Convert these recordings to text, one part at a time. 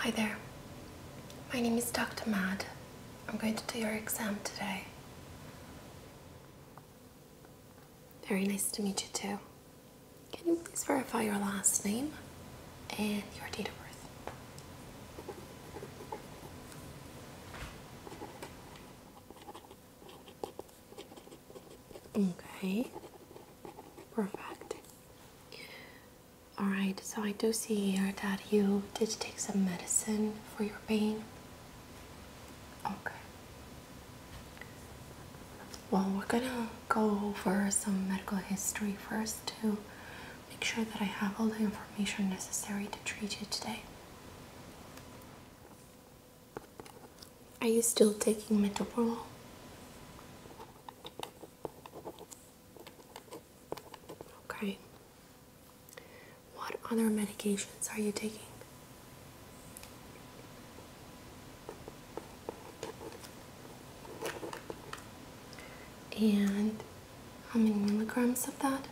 Hi there. My name is Dr. Mad. I'm going to do your exam today. Very nice to meet you too. Can you please verify your last name and your date of birth? Okay, perfect. Alright, so I do see here that you did take some medicine for your pain. Okay. Well, we're gonna go over some medical history first to make sure that I have all the information necessary to treat you today. Are you still taking metoprolol? Okay. What other medications are you taking? And how many milligrams of that?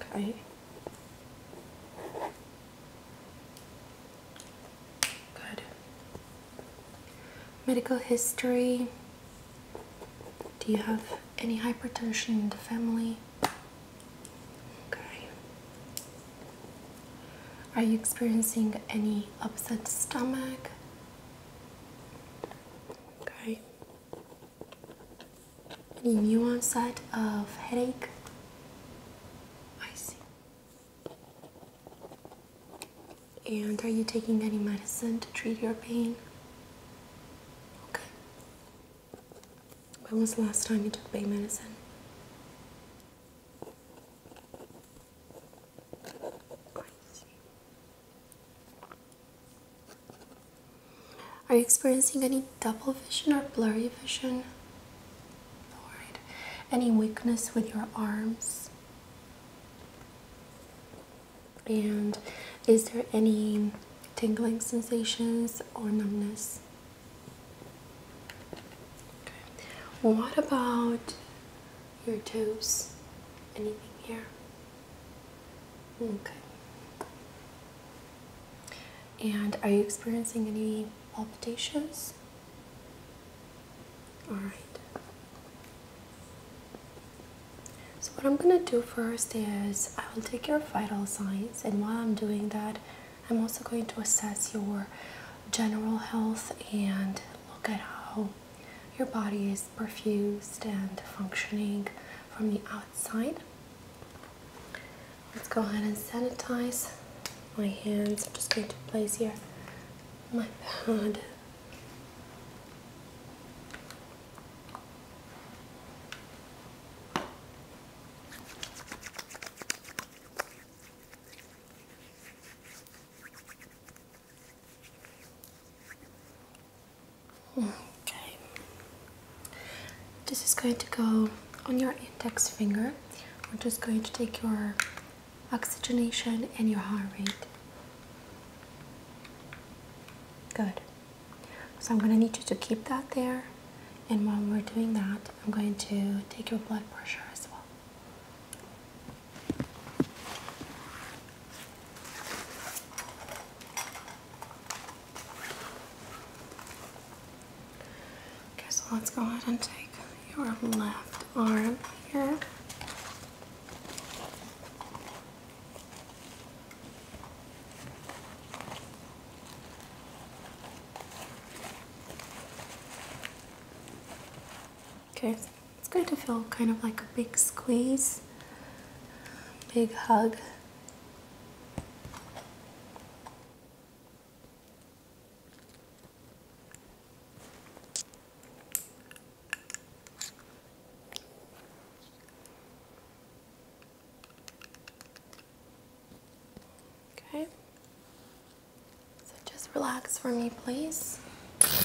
Okay. Good. Medical history. Do you have any hypertension in the family? Okay. Are you experiencing any upset stomach? Okay. Any new onset of headache? I see. And are you taking any medicine to treat your pain? Okay. When was the last time you took bay medicine? Are you experiencing any double vision or blurry vision? Any weakness with your arms? And is there any tingling sensations or numbness? what about your toes? Anything here? Okay. And are you experiencing any palpitations? All right. So what I'm gonna do first is I will take your vital signs, and while I'm doing that, I'm also going to assess your general health and look at how your body is perfused and functioning from the outside. Let's go ahead and sanitize my hands. I'm just going to place here my pad. Okay. This is going to go on your index finger. We're just going to take your oxygenation and your heart rate. Good. So I'm going to need you to keep that there and while we're doing that, I'm going to take your blood pressure as well. Okay, so let's go ahead and take your left arm here. Okay, it's going to feel kind of like a big squeeze, big hug. Okay. So just relax for me, please. Okay.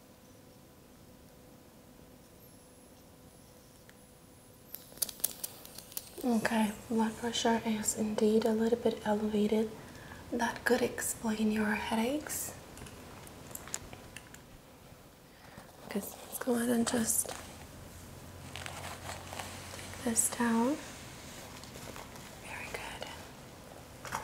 Okay, blood pressure is indeed a little bit elevated. That could explain your headaches. Okay, go ahead and just take this down. Very good.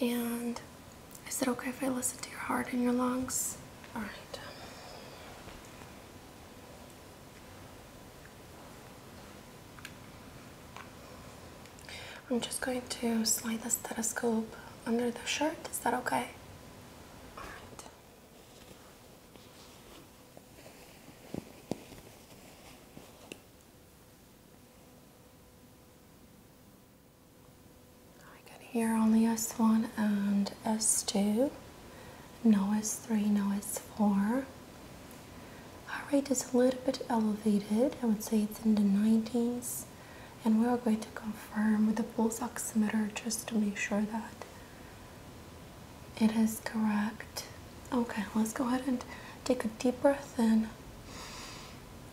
And is it okay if I listen to your heart and your lungs? All right. I'm just going to slide the stethoscope under the shirt. Is that okay? All right. I can hear only S1 and S2, no S3, no S4. Heart rate is a little bit elevated, I would say it's in the 90s, and we are going to confirm with the pulse oximeter just to make sure that it is correct. Okay, let's go ahead and take a deep breath in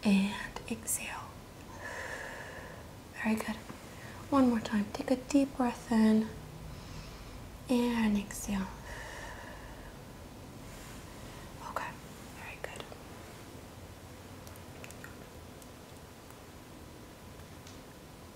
and exhale. Very good. One more time. Take a deep breath in and exhale. Okay, very good.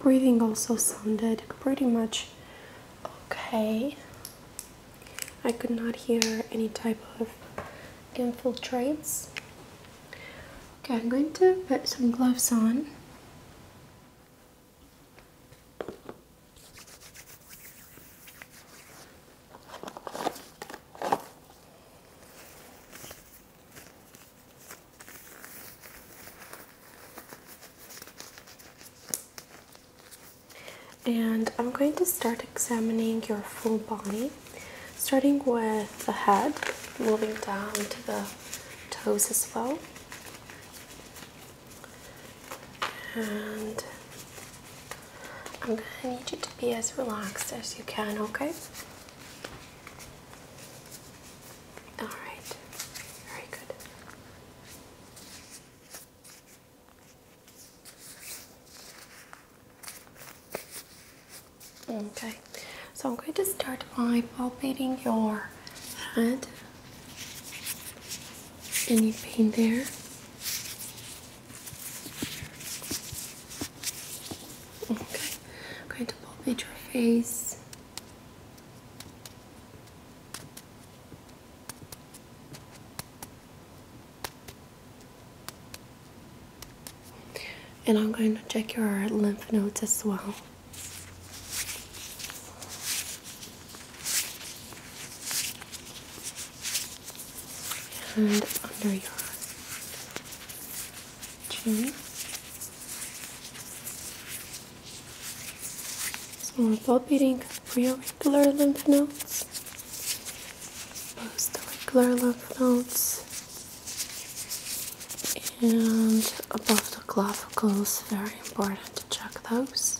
Breathing also sounded pretty much okay. I could not hear any type of infiltrates. Okay, I'm going to put some gloves on. And I'm going to start examining your full body, starting with the head, moving down to the toes as well. And I'm going to need you to be as relaxed as you can, okay? Alright, very good. Okay, so I'm going to start by palpating your head. Any pain there? Okay, I'm going to palpate your face. And I'm going to check your lymph nodes as well and under your chin. So we're palpating pre-auricular lymph nodes, post regular lymph nodes, and above the clavicles. Very important to check those.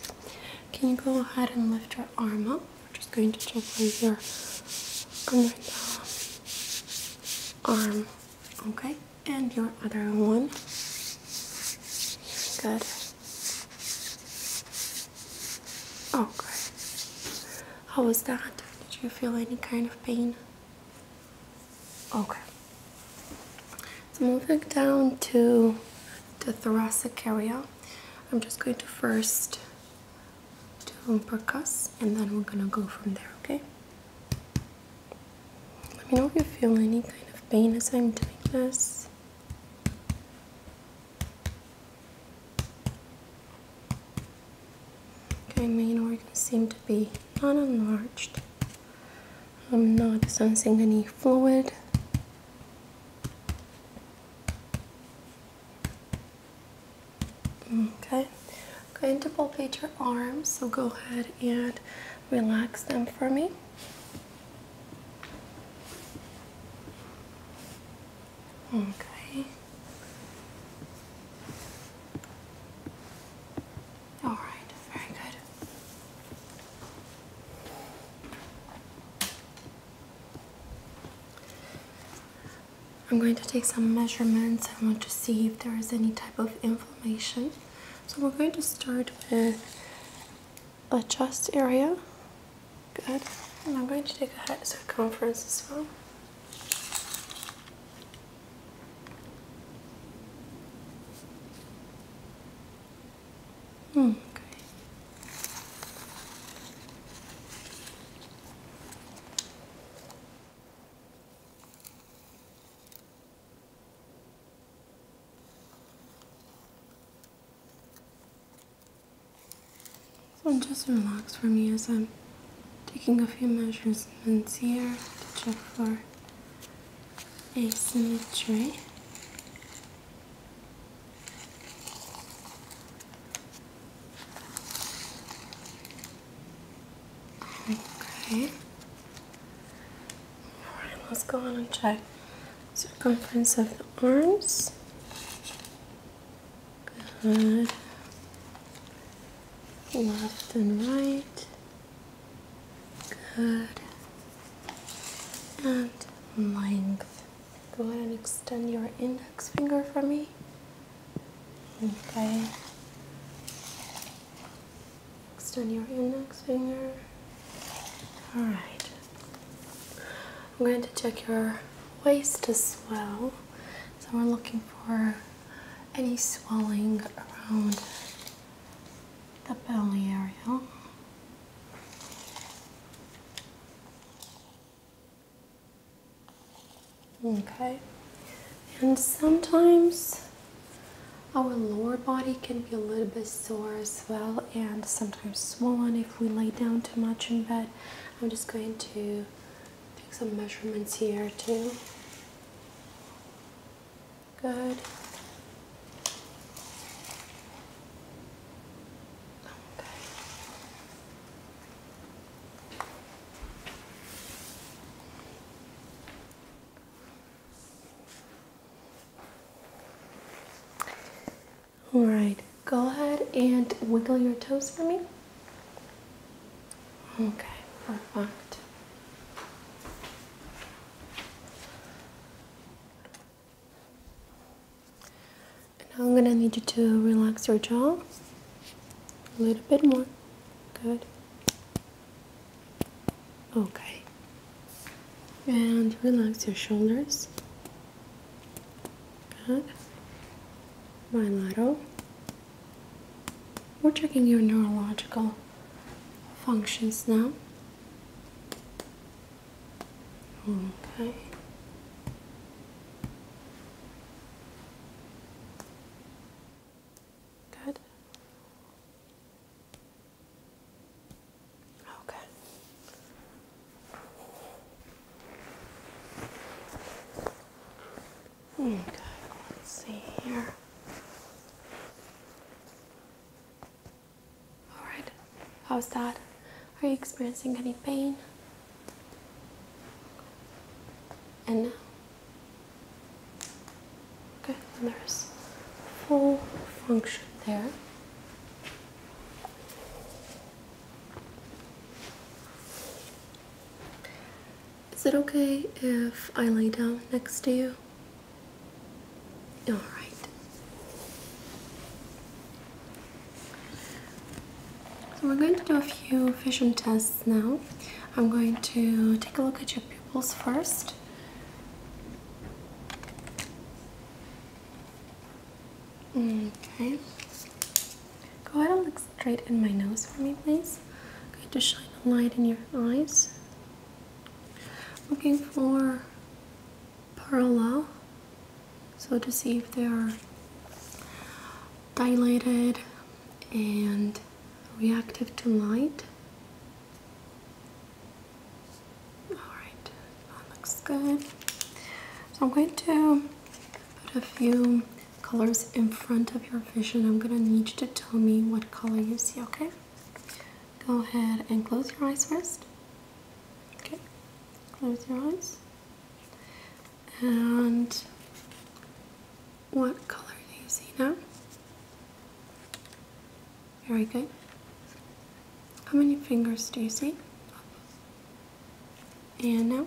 Can you go ahead and lift your arm up? I'm just going to check right here under the arm. Okay, and your other one. Good. Oh, Okay. How was that? Did you feel any kind of pain? Okay. So moving down to the thoracic area, I'm just going to first to percuss and then we're gonna go from there, okay? Let me know if you feel any kind of pain as I'm doing this. Okay, main organs seem to be not enlarged. I'm not sensing any fluid. Okay, I'm going to palpate your arms, so go ahead and relax them for me. Okay. All right, very good. I'm going to take some measurements. I want to see if there is any type of inflammation. So we're going to start with the chest area. Good. And I'm going to take a head circumference as well. Hmm, okay. So just relax for me as I'm taking a few measures measurements here to check for asymmetry. Okay. Alright, let's go on and check circumference of the arms. Good. Left and right. Good. And length. Go ahead and extend your index finger for me. Okay. Extend your index finger. Alright. I'm going to check your waist as well. So we're looking for any swelling around the belly area. Okay, and sometimes our lower body can be a little bit sore as well, and sometimes swollen if we lay down too much in bed. I'm just going to take some measurements here, too. Good. All right, go ahead and wiggle your toes for me. Okay, perfect now I'm going to need you to relax your jaw a little bit more. Good. Okay. And relax your shoulders. Good. Bilateral. We're checking your neurological functions now. Okay. Good. Okay. Okay, let's see here. All right. How's that? Are you experiencing any pain? And now. Okay, and there's full function there. Is it okay if I lay down next to you? All right. So we're going to do a few vision tests now. I'm going to take a look at your pupils first. Okay. Go ahead and look straight in my nose for me, please. I'm going to shine a light in your eyes. Looking for parallel so to see if they are dilated and reactive to light. Alright, that looks good. So I'm going to put a few colors in front of your vision. I'm going to need you to tell me what color you see, okay? Go ahead and close your eyes first. Okay, close your eyes. And what color do you see now? Very good. How many fingers do you see? And now.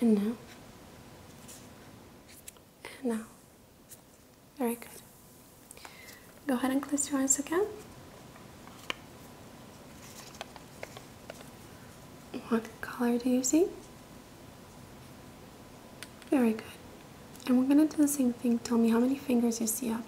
And now. And now. Very good. Go ahead and close your eyes again. What color do you see? Very good. And we're going to do the same thing. Tell me how many fingers you see up.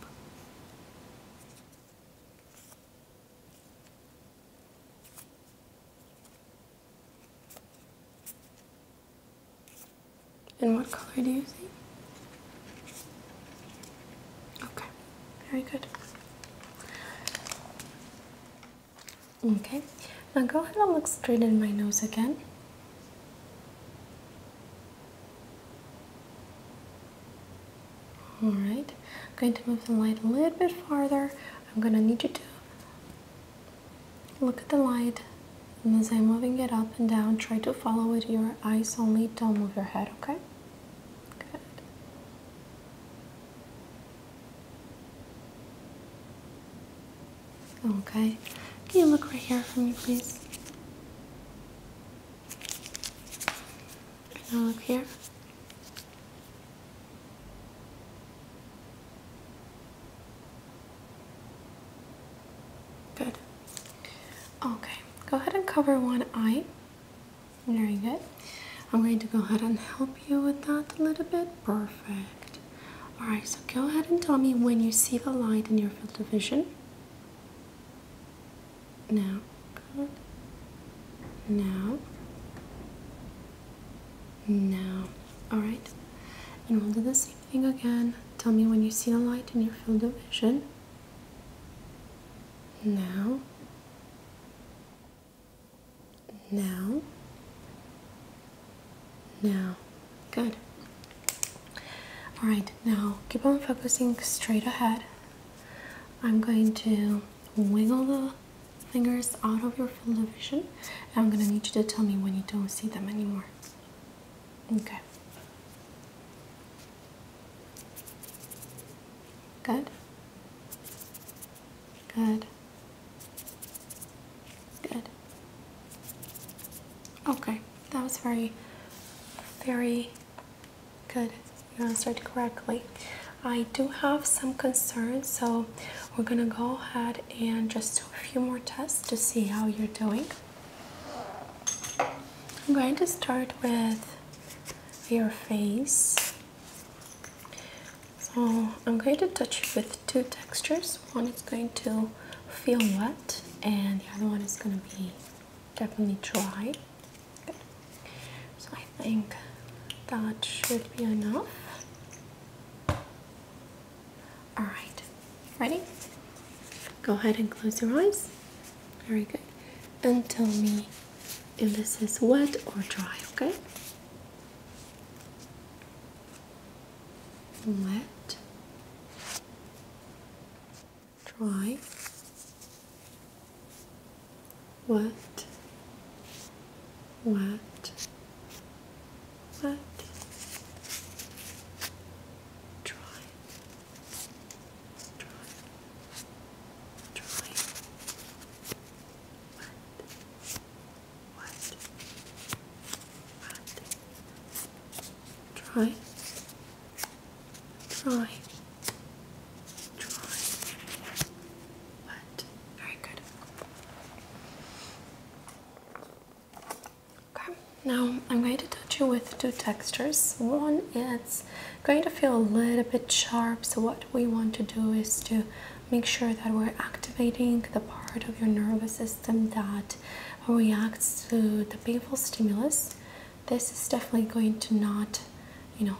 And what color do you see? Okay, very good. Okay, now go ahead and look straight in my nose again. All right, I'm going to move the light a little bit farther. I'm going to need you to look at the light as I'm moving it up and down, try to follow with your eyes only. Don't move your head, okay? Good. Okay. Can you look right here for me, please? Now look here. Good. Okay. Go ahead and cover one eye. Very good. I'm going to go ahead and help you with that a little bit. Perfect. Alright, so go ahead and tell me when you see the light in your field of vision. Now. Good. Now. Now. Alright. And we'll do the same thing again. Tell me when you see the light in your field of vision. Now, now, now. Good. All right, now keep on focusing straight ahead. I'm going to wiggle the fingers out of your field of vision. I'm going to need you to tell me when you don't see them anymore. Okay. Good. Good. Good. Okay, that was very, very good. You answered correctly. I do have some concerns, so we're gonna go ahead and just do a few more tests to see how you're doing. I'm going to start with your face. So I'm going to touch it with two textures. One is going to feel wet, and the other one is going to be definitely dry. So I think that should be enough. All right, ready? Go ahead and close your eyes. Very good. And tell me if this is wet or dry, okay? Wet, dry, wet, wet, wet, dry. Try, try, what, what, what, drawing, drawing, what, very good. Okay, now I'm going to touch with two textures. One is going to feel a little bit sharp, so what we want to do is to make sure that we're activating the part of your nervous system that reacts to the painful stimulus. This is definitely going to not, you know,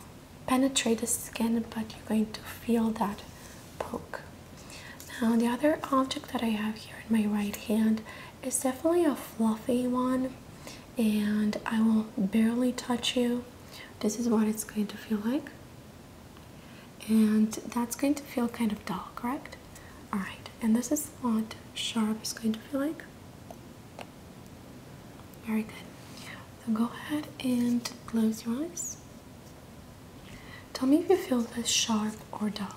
penetrate the skin, but you're going to feel that poke. Now, the other object that I have here in my right hand it's definitely a fluffy one, and I will barely touch you. This is what it's going to feel like, and that's going to feel kind of dull, correct? All right, and this is what sharp is going to feel like. Very good. So go ahead and close your eyes. Tell me if you feel this sharp or dull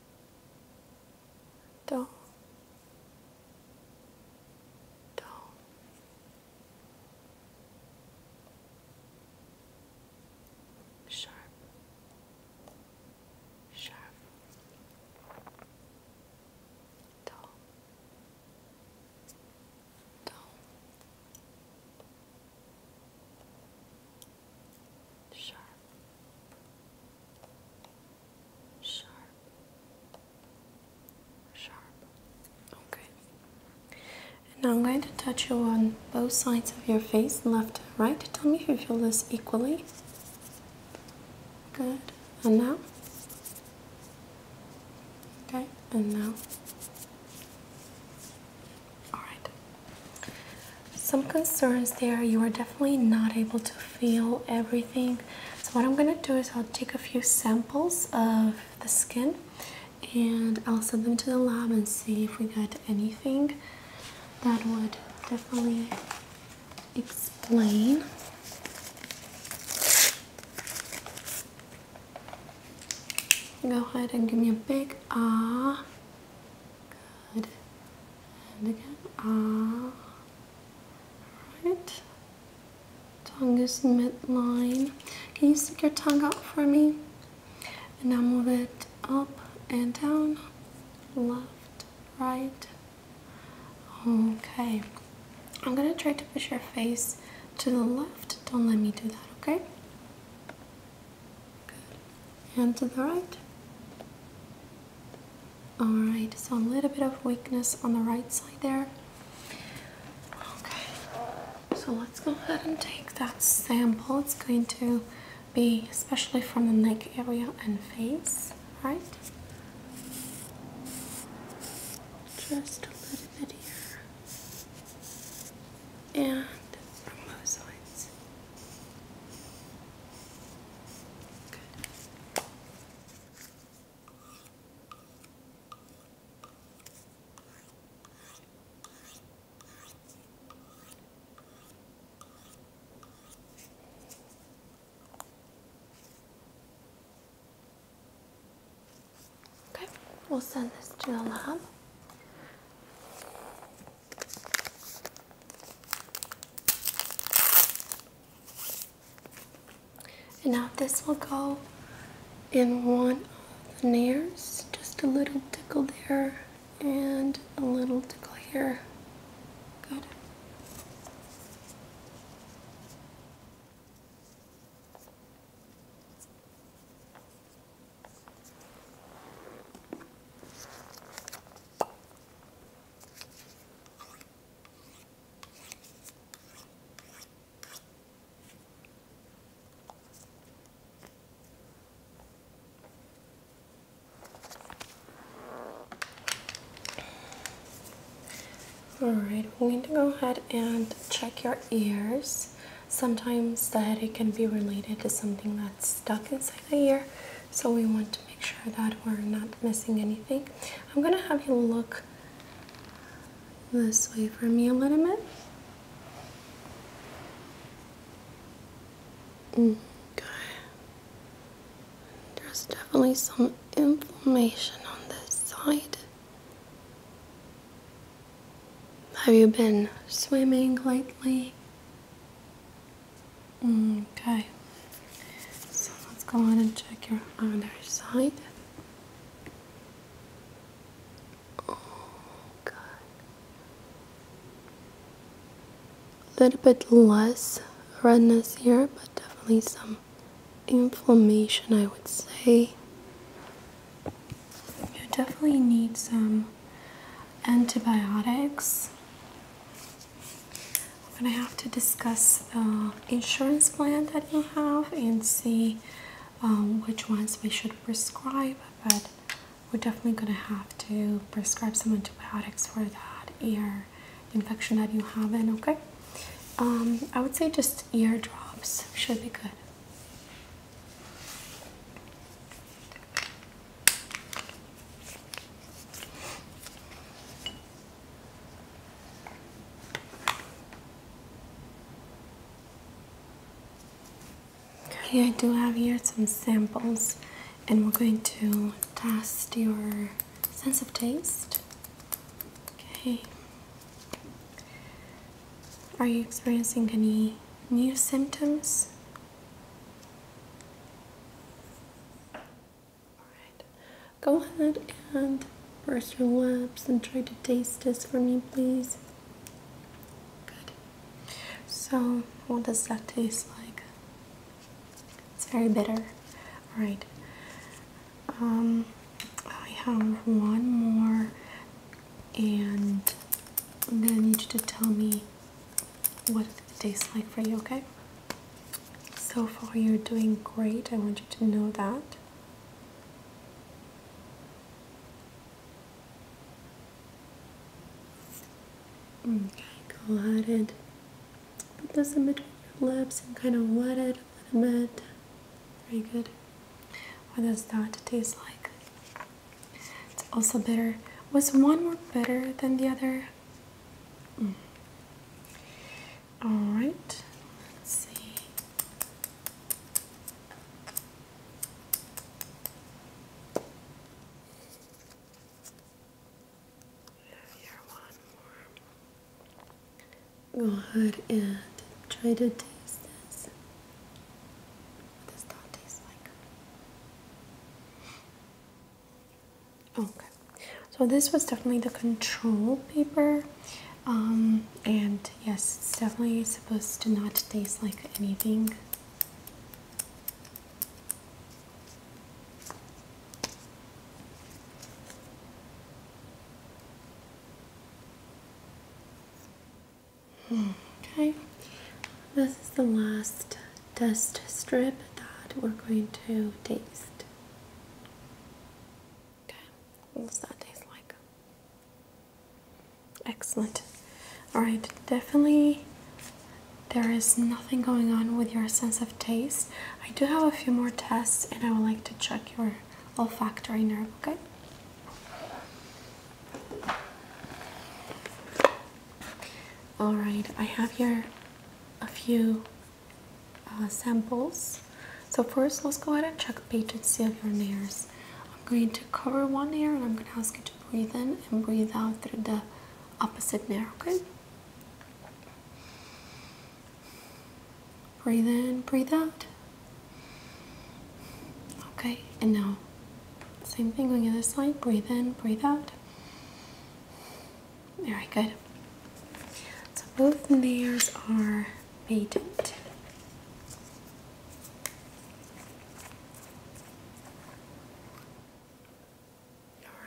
down, down, sharp, sharp, down, down, Sharp, sharp, sharp. Okay. And now I'm going to touch you on both sides of your face, left right. Tell me if you feel this equally. Good. And now? Okay. And now? Alright some concerns there. You are definitely not able to feel everything. So, what I'm going to do is I'll take a few samples of the skin and I'll send them to the lab and see if we get anything that would definitely explain. Go ahead and give me a big ah. Good and again ah right tongue is midline can you stick your tongue out for me and now move it up and down left right okay i'm gonna try to push your face to the left don't let me do that okay and to the right Alright, so a little bit of weakness on the right side there. Okay, so let's go ahead and take that sample. It's going to be especially from the neck area and face, right? Just a little bit here. And from both sides. Okay, we'll send this to the lab. And now this will go in one of the nares, just a little tickle there and a little tickle here. Good. Alright, we're going to go ahead and check your ears. Sometimes the headache can be related to something that's stuck inside the ear, so we want to make sure that we're not missing anything. I'm gonna have you look this way for me a little bit. Mm, okay. There's definitely some inflammation on this side. Have you been swimming lately? Okay, so let's go ahead and check your other side. Oh, good. A little bit less redness here, but definitely some inflammation, I would say. You definitely need some antibiotics. We're gonna have to discuss the uh, insurance plan that you have and see um, which ones we should prescribe, but we're definitely gonna have to prescribe some antibiotics for that ear infection that you have in, okay? Um, I would say just ear drops should be good. Okay, I do have here some samples, and we're going to test your sense of taste. Okay. Are you experiencing any new symptoms? go ahead and burst your lips and try to taste this for me, please. So, what does that taste like? It's very bitter. Alright. Um, I have one more, and I'm gonna need you to tell me what it tastes like for you, okay? So far, you're doing great. I want you to know that. Okay, go ahead and put this in between your lips and kind of wet it a little bit. Very good. What does that taste like? It's also bitter. Was one more bitter than the other? Mm. All right, let's see. Go ahead and try to taste this. What does that taste like? Okay, so this was definitely the control paper, um, and yes, it's definitely supposed to not taste like anything. Hmm, okay, this is the last dust strip that we're going to taste. Okay, what that taste like? Excellent. Alright, definitely there is nothing going on with your sense of taste. I do have a few more tests and I would like to check your olfactory nerve, okay? All right, I have here a few uh, samples. So first, let's go ahead and check patency of your nares. I'm going to cover one ear and I'm going to ask you to breathe in and breathe out through the opposite nair, okay? Breathe in, breathe out. Okay, and now same thing on the other side. Breathe in, breathe out. Very good. So both layers are patent.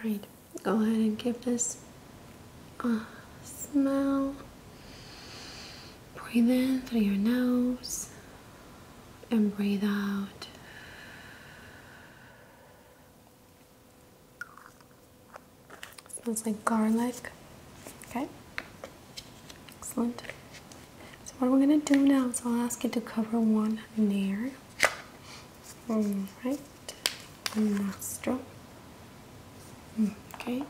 Alright, go ahead and give this a smell. Breathe in through your nose and breathe out. Smells like garlic. Okay. Excellent. So what we're gonna do now is I'll ask you to cover one ear. Alright. One nostril. Okay.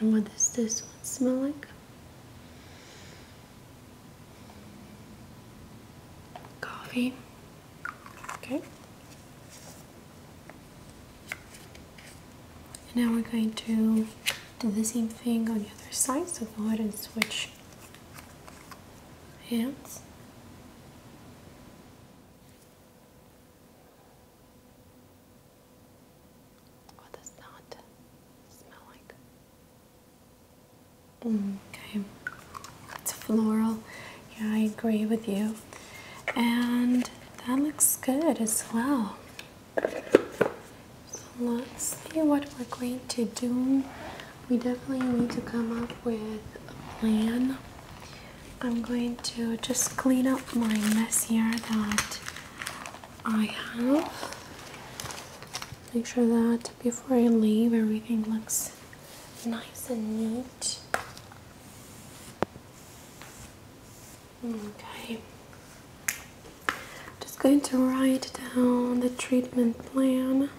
And what does this one smell like? coffee. Okay. And now we're going to do the same thing on the other side. So go ahead and switch hands. What does that smell like? Okay, it's floral. Yeah, I agree with you. And that looks good as well. So let's see what we're going to do. We definitely need to come up with a plan. I'm going to just clean up my mess here that I have. Make sure that before I leave, everything looks nice and neat. Okay, just going to write down the treatment plan.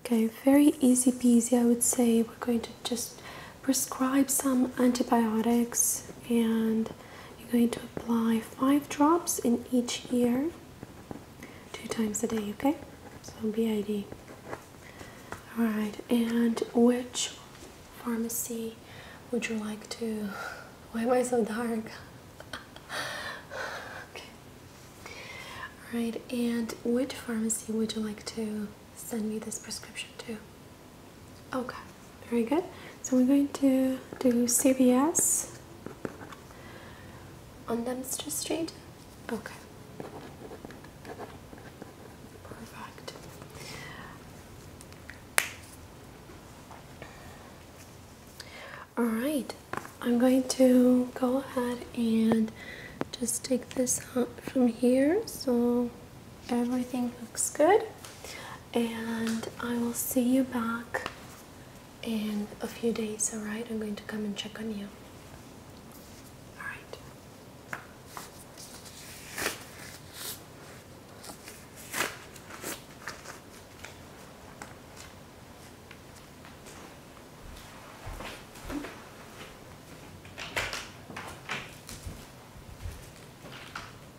Okay, very easy peasy, I would say. We're going to just prescribe some antibiotics and you're going to apply five drops in each ear two times a day, okay? So BID. Alright, and which pharmacy would you like to? Why am I so dark? okay. Alright, and which pharmacy would you like to send me this prescription to? Okay, very good. So we're going to do CVS on Dempster Street. Okay. Perfect. Alright, I'm going to go ahead and just take this out from here so everything looks good and I will see you back in a few days. All right, I'm going to come and check on you. All right.